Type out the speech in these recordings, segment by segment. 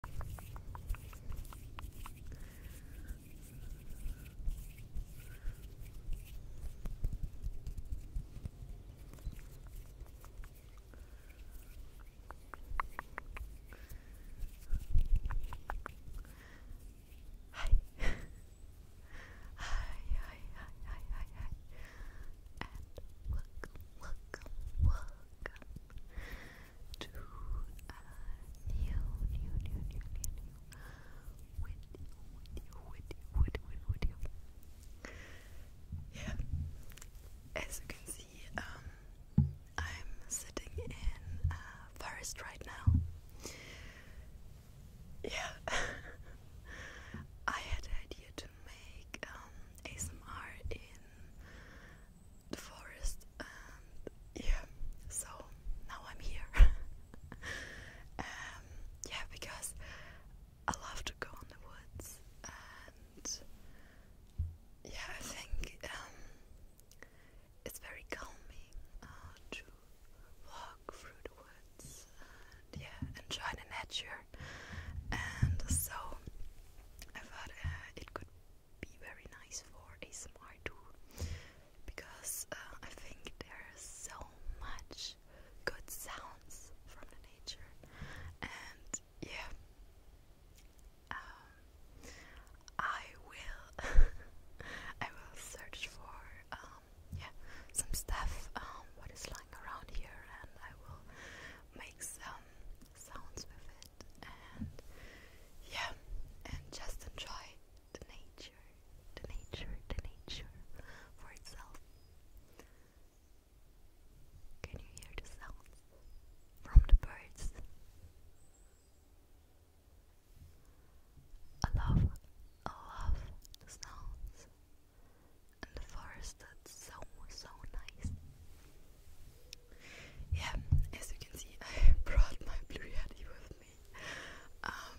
Hi. hi, hi, hi, hi, and welcome, welcome, welcome to a new, new, new, new, new, new video, video, video, video, video. Yeah, as you can see, um, I'm sitting in a uh, forest right now. Yeah, I had the idea to make um, ASMR in the forest and yeah so now I'm here um, yeah because I love to go in the woods and yeah I think um, it's very calming uh, to walk through the woods and yeah enjoy the nature and so I thought uh, it could be very nice for ASMR too because uh, I think there's so much good sounds from the nature and yeah um, I will I will search for um, yeah some stuff um, what is lying around here and I will make some sounds with it and yeah, and just enjoy the nature, the nature, the nature for itself. Can you hear the sounds from the birds? I love, I love the sounds and the forest. That's so so nice. Yeah, as you can see, I brought my blue yeti with me. Um,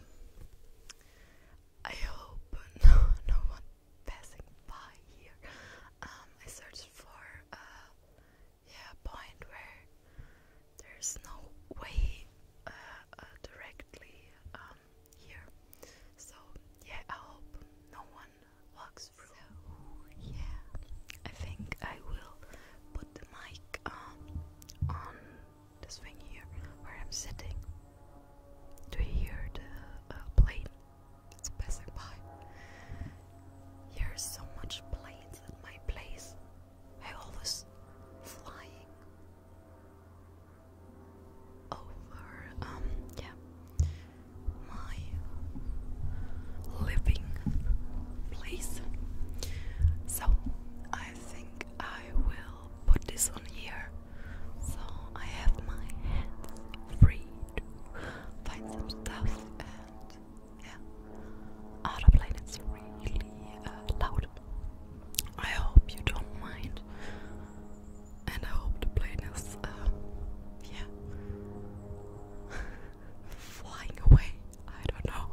I hope no, no one passing by here. Um, I searched for uh, a point where there's no way uh, uh, directly um, here. So yeah, I hope no one so, yeah, I think I will put the mic um, on this thing here where I'm sitting. Do you hear the uh, plane? It's passing by. There's so much planes at my place. I always flying over. Um, yeah my living place. So I think I will put this on here so I have my hands free to find some stuff and yeah. Out of line, really uh, loud. I hope you don't mind, and I hope the plane is, uh, yeah. flying away. I don't know.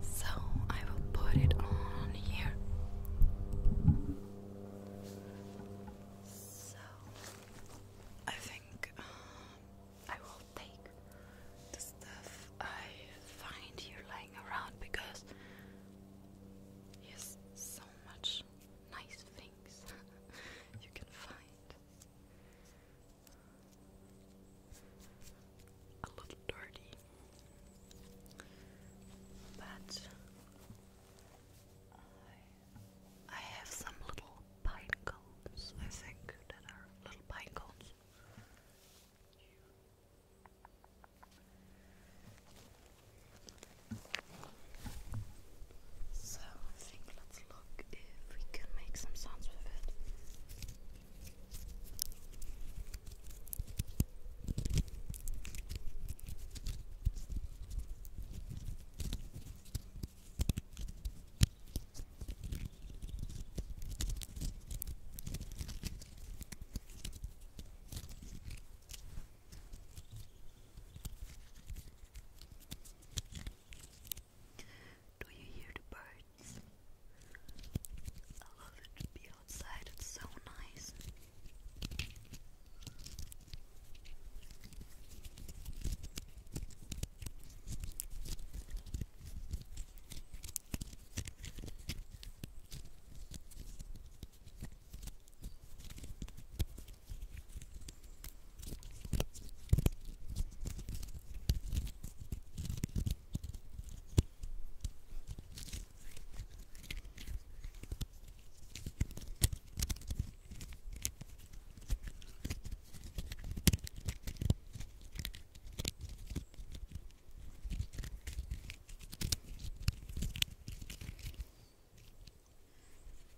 So I will put it on here. So I think um, I will take the stuff I find here lying around because there's so much nice things you can find a little dirty, but I, I have some little pine cones, I think, that are little pine cones. So I think let's look if we can make some sounds with it. Do you hear the birds? I love it to be outside, it's so nice.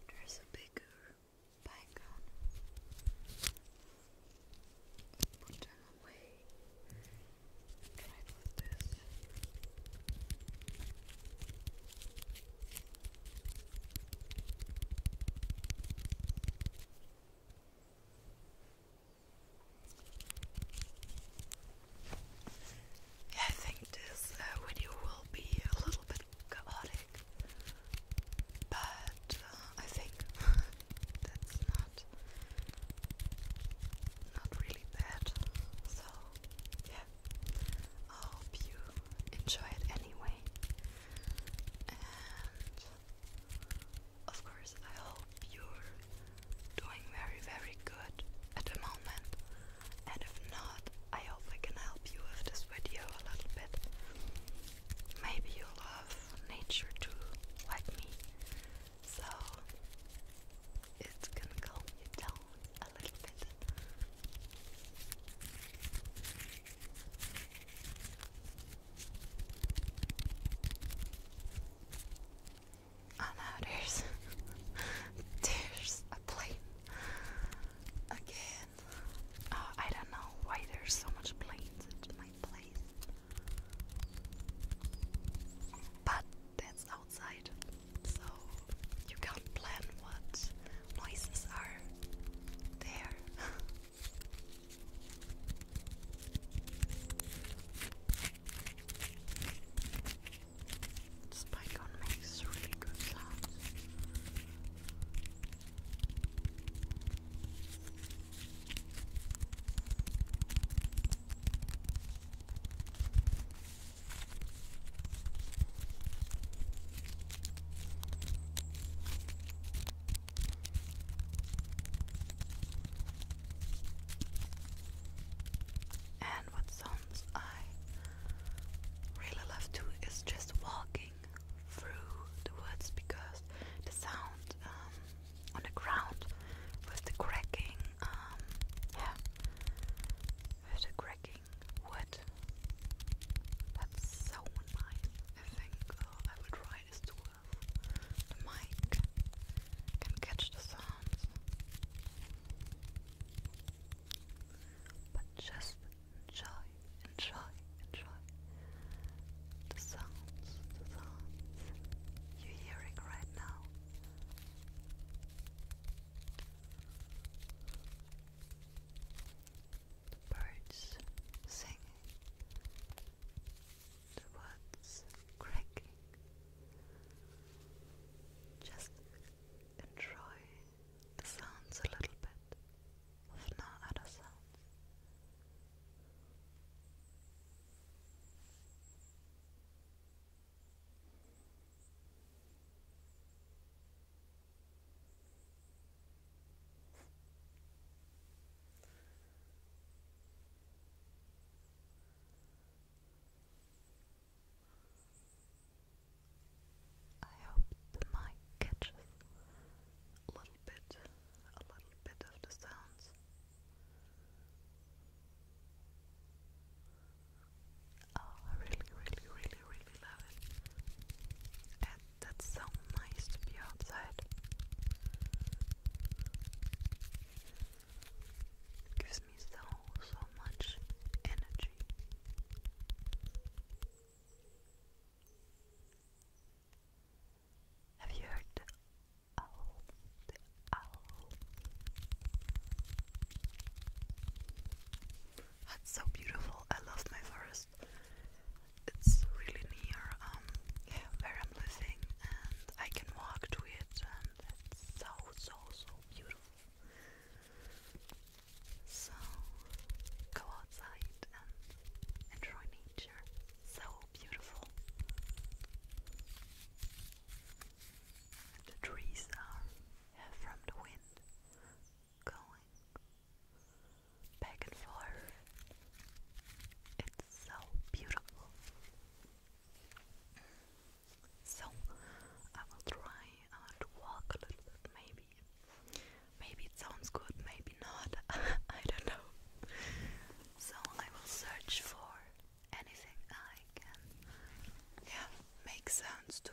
There's a bigger background. Put I think this uh, video will be a little bit chaotic but uh, I think that's not not really bad. So yeah, I hope you enjoy it anyway. And of course, I hope you're doing very, very good at the moment. And if not, I hope I can help you with this video a little bit. Maybe you love nature too, like me. So it's going calm you down a little bit. Oh no, there's there's a plane. Okay, uh, I don't know why there's so much planes at my place. But that's outside, so you can't plan what noises are there. Spike makes really good sounds. And what sounds I really love to is just walking through the woods because the sound um, on the ground with the cracking, um, yeah, with the cracking wood. That's so nice. I think uh, I will try this to the mic. Can catch the sounds, but just enjoy, enjoy, enjoy the sounds, the sounds you're hearing right now. The birds singing, the woods cracking. Just enjoy the sounds a little bit with no other sounds. I hope the mic catches a little bit, a little bit of the sounds. Oh, I really, really, really, really love it. And that's so nice to be outside. Gives me so, so much energy. Have you heard That's so beautiful. I love my forest. It's really near um, where I'm living and I can walk to it and it's so so so beautiful. So go outside and enjoy nature. So beautiful. the trees are from the wind going back and forth. It's so beautiful. So I will try uh, to walk a little bit maybe maybe. Maybe it sounds good, maybe not. I don't know. So I will search for anything I can yeah, make sounds to.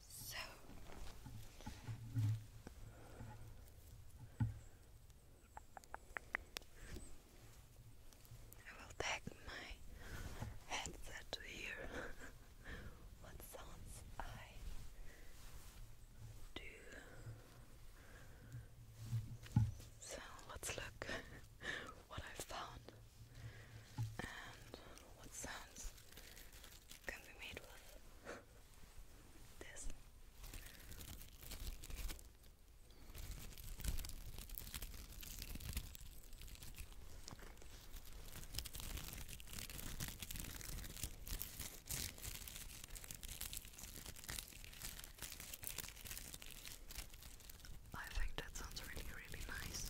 So I will take my headset to hear what sounds I do. So let's look what I found and what sounds can be made with this. I think that sounds really, really nice.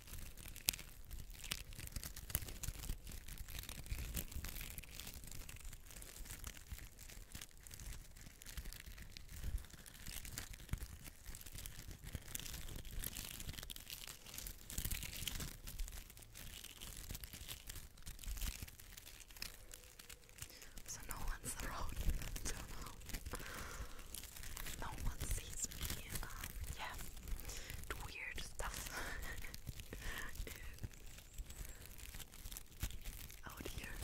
So no one's around. I don't know. No one sees um, yeah, weird stuff out here.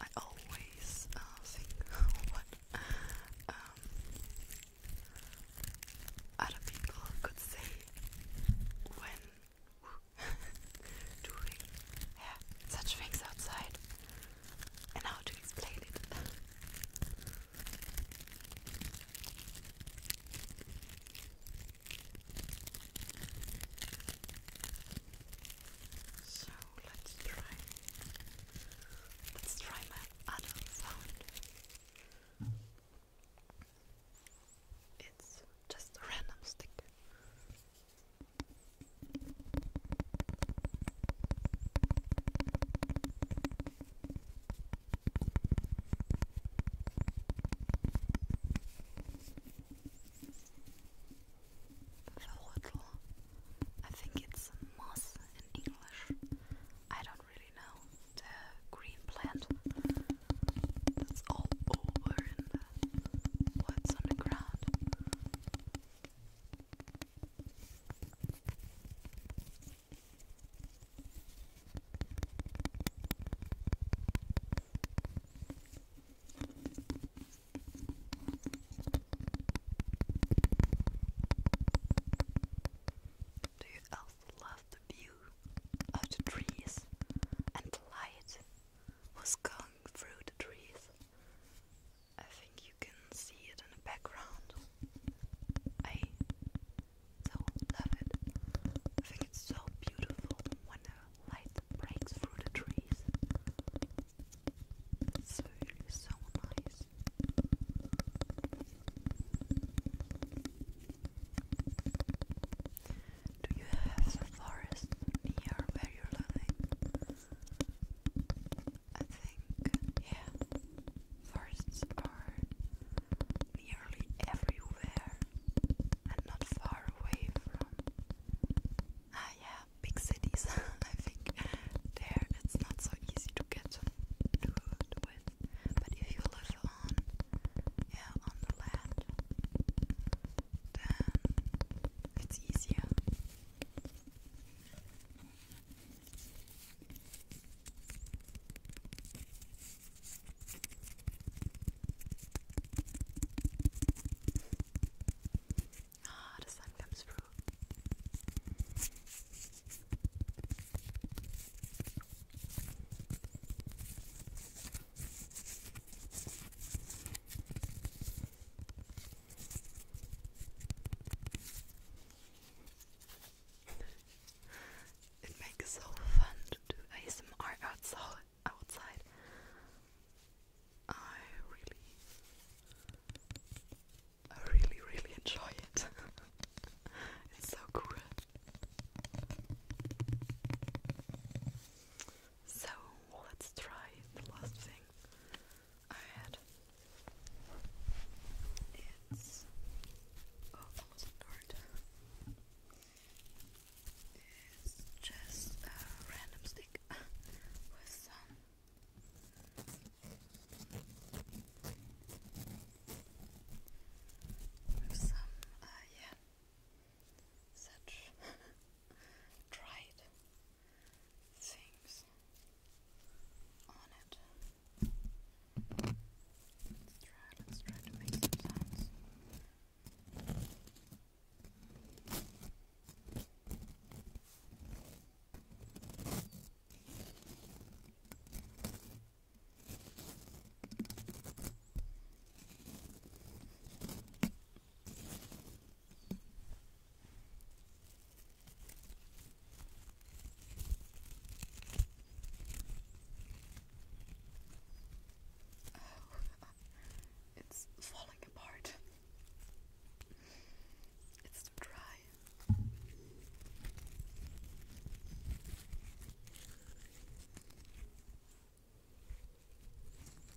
I always uh, think what um, other people could say when doing yeah, such things outside and how to explain it. so let's try. Let's try my other sound. It's just a random stick. I think it's moss in English. I don't really know. The green plant that's all over in the woods on do you also love the view of the trees and the light was going through the trees? I think you can see it in the background. I so love it. I think it's so beautiful when the light breaks through the trees. It's really so nice. Do you have a forest near where you're living? I think, yeah, forests are nearly everywhere and not far away from. Ah, yeah, big cities. I think there it's not so easy to get to, to with. But if you live on, yeah, on the land, then it's easier. Ah, the sun comes through. it makes so fun to do ASMR outside. I really, I really, really enjoy it. it's so cool. So let's try the last thing. Alright. It's oh, almost dark. It's just a random stick with some with some uh yeah such dried things on it. Let's try, let's try to make some sounds. Oh, it's falling apart. It's dry.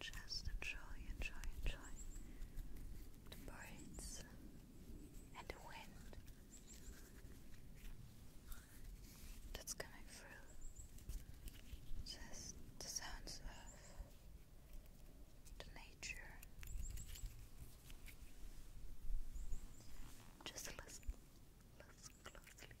Just enjoy, enjoy, enjoy the birds and the wind that's coming through. Just the sounds of the nature. Just listen, listen closely.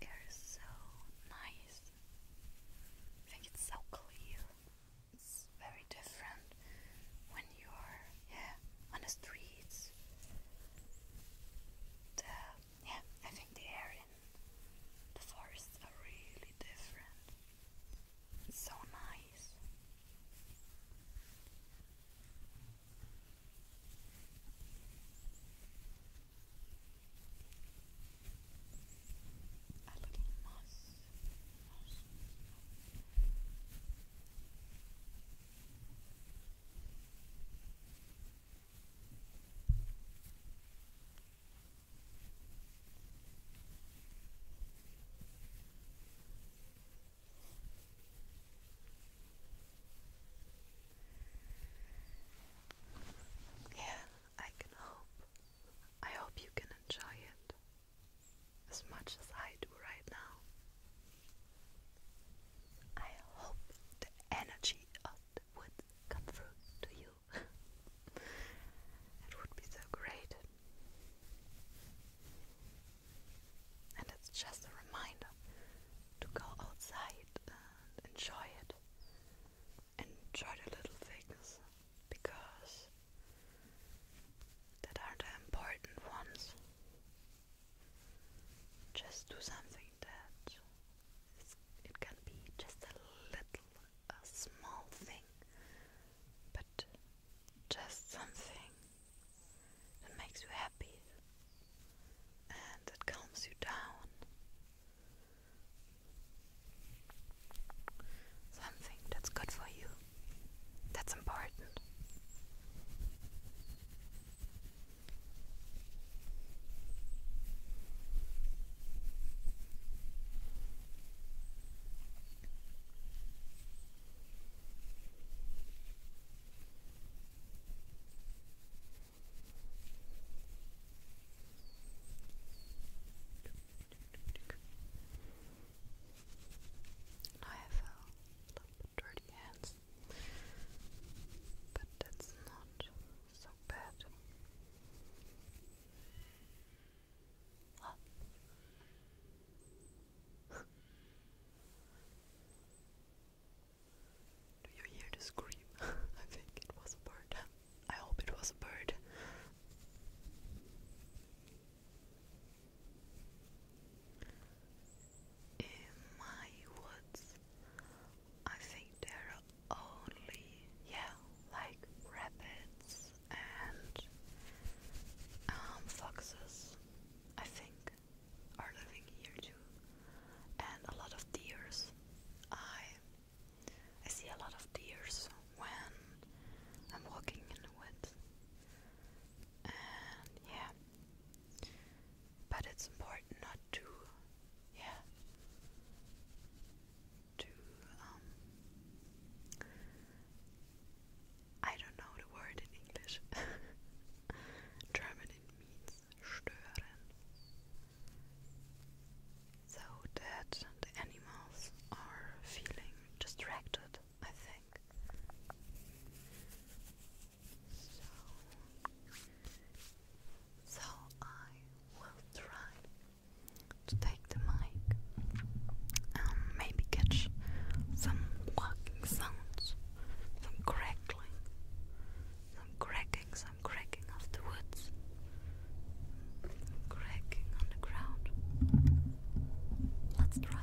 The air is so nice. I think it's so clear. It's very different when you're yeah, on the streets. The, yeah, I think the air in the forests are really different. so nice. A little moss. Yeah, I can hope. I hope you can enjoy it as much as I do right now. I hope the energy of the wood come through to you. it would be so great. And it's just a reminder to go outside and enjoy it. Enjoy the little things because that are the important ones. Just do something that it can be just a little, a small thing, but just something that makes you happy and that calms you down. Something that's good for you, that's important. I have dirty hands but that's not so bad. Do you hear the scream? I think it was a bird. I hope it was a bird in my woods, I think there are only, yeah, like rabbits and um, foxes, I think, are living here too, and a lot of deers. I I see a lot of deers when I'm walking in the woods, and yeah. But it's important not to, yeah, to, um, I don't know the word in English. German it means stören. So that the animals are feeling distracted, I think. So, I will try to take the mic and maybe catch some walking sounds, some crackling, some cracking, some cracking of the woods, cracking on the ground. Let's try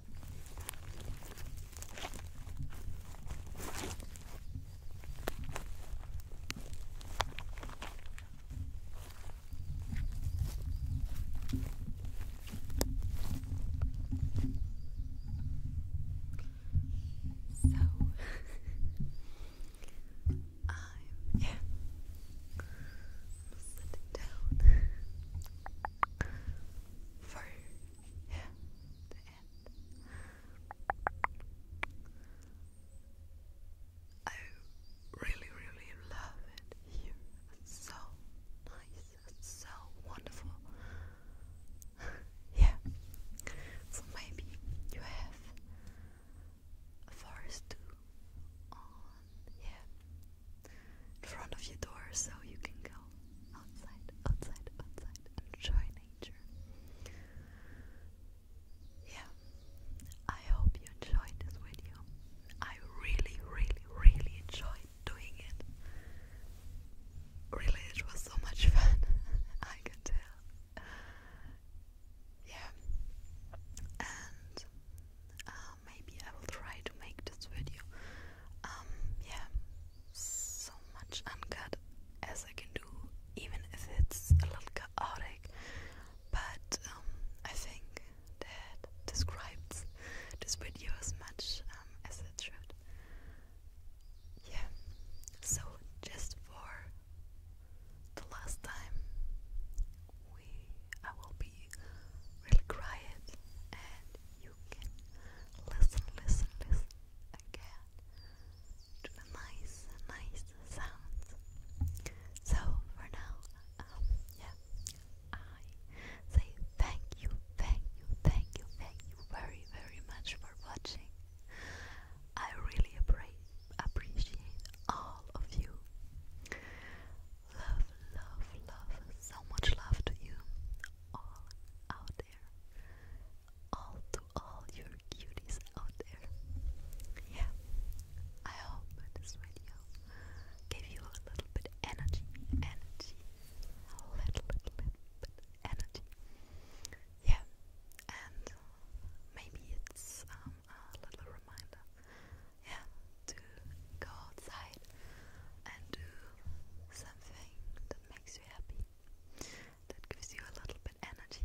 So I'm sitting down for the I really, really love it here. It's so nice. It's so wonderful. yeah. So maybe you have a forest too on um, yeah in front of your door so you can go outside, outside, outside, enjoy nature. Yeah, I hope you enjoyed this video. I really, really, really enjoyed doing it. Really, it was so much fun. I can tell. Yeah, and uh, maybe I will try to make this video um, yeah, so much uncut as I can do, even if it's a little chaotic. But um, I think that describes this video as much um, as it should. Yeah, so just for the last time, we I will be really quiet and listen, listen, listen again to the nice, nice sounds. So for now, um, yeah, I say thank you, thank you, thank you, thank you very, very much for watching. I really appreciate all of you. Love, love, love, so much love to you all out there. All to all your cuties out there. Yeah, I hope this video gave you a little bit energy, energy, a little, little, little bit energy. Yeah, and maybe it's um, a little reminder, yeah, to go outside and do something that makes you happy, that gives you a little bit energy.